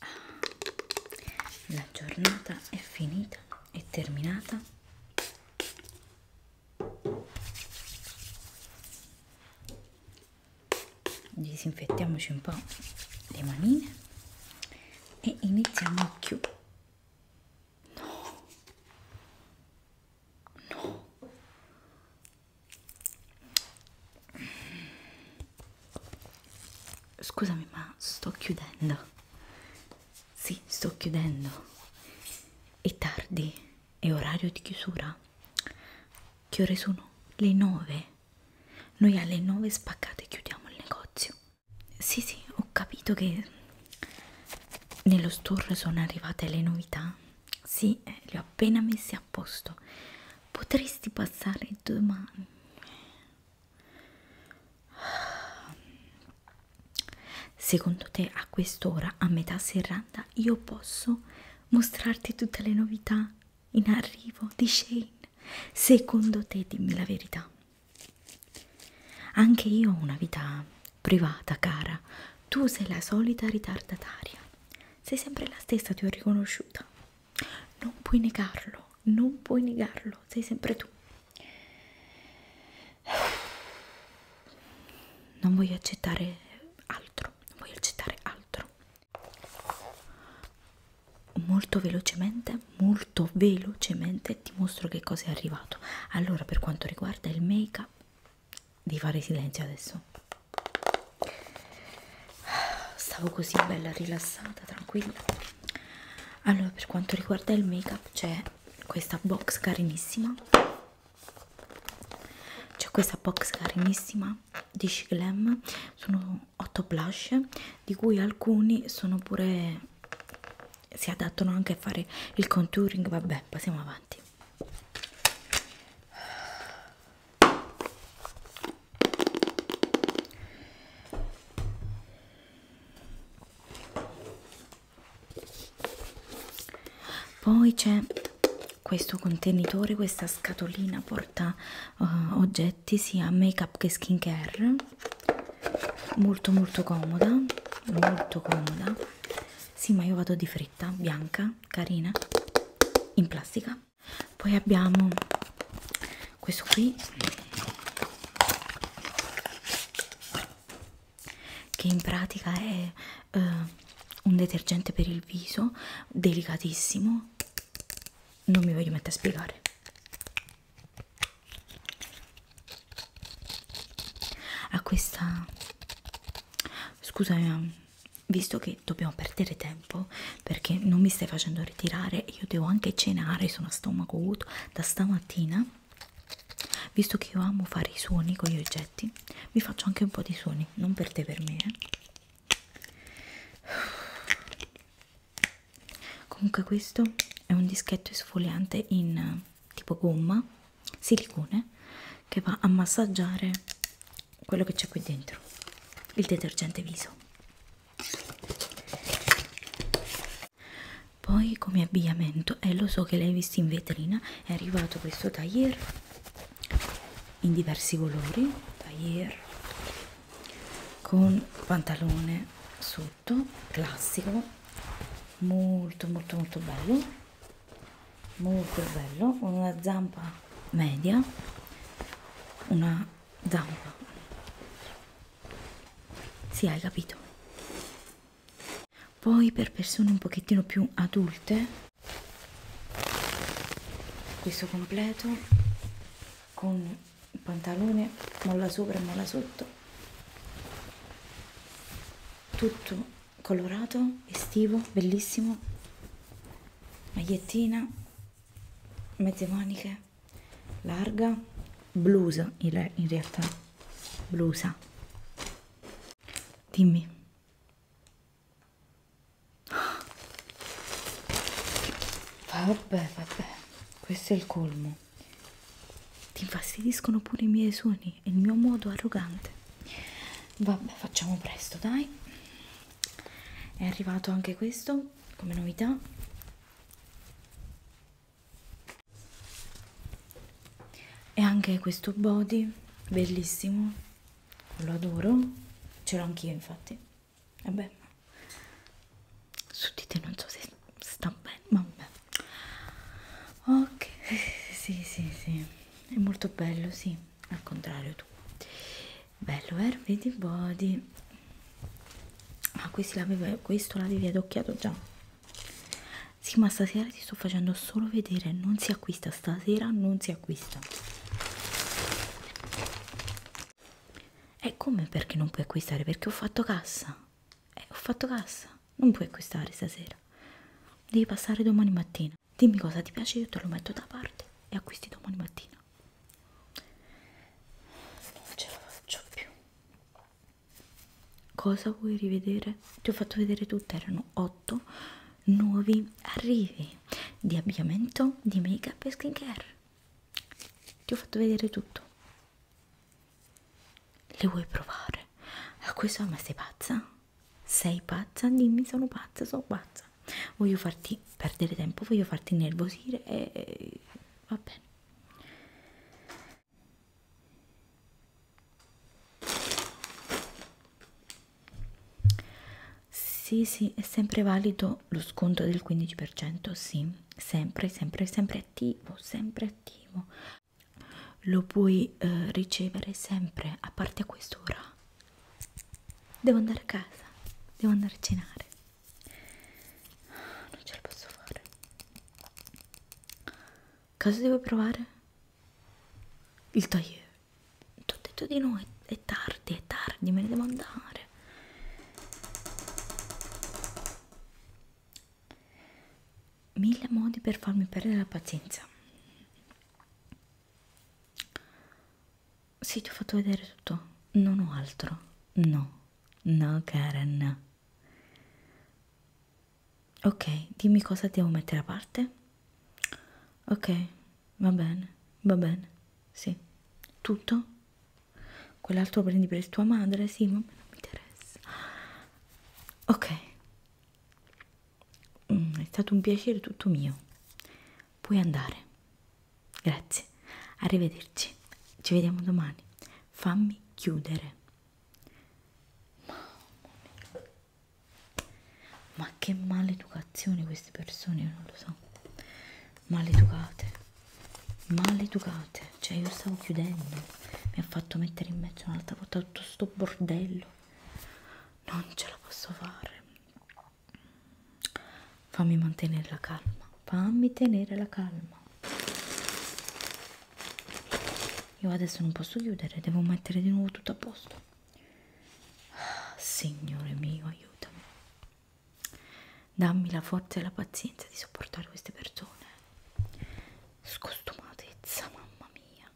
Ah, la giornata è finita, è terminata disinfettiamoci un po' le manine e iniziamo a chiudere no no scusami ma sto chiudendo sì sto chiudendo è tardi è orario di chiusura. Che ore sono? Le 9. Noi alle 9 spaccate chiudiamo il negozio. Sì, sì, ho capito che nello store sono arrivate le novità. Sì, eh, le ho appena messe a posto. Potresti passare domani. Secondo te a quest'ora, a metà serranda, io posso mostrarti tutte le novità in arrivo di Shane? Secondo te, dimmi la verità. Anche io ho una vita privata, cara. Tu sei la solita ritardataria. Sei sempre la stessa, ti ho riconosciuta. Non puoi negarlo, non puoi negarlo, sei sempre tu non voglio accettare altro non voglio accettare altro molto velocemente molto velocemente ti mostro che cosa è arrivato allora per quanto riguarda il make up di fare silenzio adesso stavo così bella rilassata tranquilla allora per quanto riguarda il make up c'è questa box carinissima c'è questa box carinissima di Shiglam sono 8 blush di cui alcuni sono pure si adattano anche a fare il contouring vabbè passiamo avanti poi c'è questo contenitore questa scatolina porta uh, oggetti sia make up che skincare molto molto comoda molto comoda sì ma io vado di fretta bianca carina in plastica poi abbiamo questo qui che in pratica è eh, un detergente per il viso delicatissimo non mi voglio mettere a spiegare a questa scusami visto che dobbiamo perdere tempo perché non mi stai facendo ritirare io devo anche cenare sono a stomaco vuoto da stamattina visto che io amo fare i suoni con gli oggetti vi faccio anche un po' di suoni non per te per me eh. comunque questo è un dischetto esfoliante in eh, tipo gomma silicone che va a massaggiare quello che c'è qui dentro il detergente viso poi come abbigliamento, e eh, lo so che l'hai visto in vetrina, è arrivato questo taglier in diversi colori, taglier con pantalone sotto, classico, molto molto molto bello, molto bello, con una zampa media, una zampa sì, hai capito. Poi per persone un pochettino più adulte questo completo con il pantalone molla sopra e molla sotto tutto colorato estivo bellissimo magliettina mezze maniche larga blusa in realtà blusa dimmi vabbè vabbè questo è il colmo ti infastidiscono pure i miei suoni e il mio modo arrogante vabbè facciamo presto dai è arrivato anche questo come novità e anche questo body bellissimo lo adoro ce l'ho anch'io infatti vabbè su di te non so se sta bene vabbè ok sì sì sì è molto bello sì al contrario tu bello eh vedi body ah questo l'avevi questo l'avevi adocchiato già sì ma stasera ti sto facendo solo vedere non si acquista stasera non si acquista e come perché non puoi acquistare perché ho fatto cassa eh, ho fatto cassa non puoi acquistare stasera devi passare domani mattina dimmi cosa ti piace io te lo metto da parte e acquisti domani mattina mattina non ce la faccio più cosa vuoi rivedere? ti ho fatto vedere tutte erano 8 nuovi arrivi di abbigliamento di make up e skincare ti ho fatto vedere tutto le vuoi provare? a ah, questo ma sei pazza? sei pazza? dimmi sono pazza sono pazza voglio farti perdere tempo, voglio farti innervosire e, e va bene. Sì, sì, è sempre valido lo sconto del 15%, sì, sempre, sempre, sempre attivo, sempre attivo. Lo puoi eh, ricevere sempre, a parte a quest'ora. Devo andare a casa, devo andare a cenare. Non ce la posso fare. Cosa devo provare? Il tagliere. Ti ho detto di no, è tardi, è tardi, me ne devo andare. Mille modi per farmi perdere la pazienza. Sì, ti ho fatto vedere tutto. Non ho altro. No, no, Karen. Ok, dimmi cosa devo mettere a parte. Ok, va bene, va bene. Sì, tutto. Quell'altro prendi per tua madre? Sì, ma non mi interessa. Ok, Mm, è stato un piacere tutto mio. Puoi andare. Grazie. Arrivederci. Ci vediamo domani. Fammi chiudere. Mamma mia. Ma che maleducazione queste persone, io non lo so. Maleducate. Maleducate. Cioè io stavo chiudendo. Mi ha fatto mettere in mezzo un'altra volta tutto sto bordello non ce la posso fare fammi mantenere la calma fammi tenere la calma io adesso non posso chiudere devo mettere di nuovo tutto a posto ah, signore mio aiutami dammi la forza e la pazienza di sopportare queste persone scostumatezza mamma mia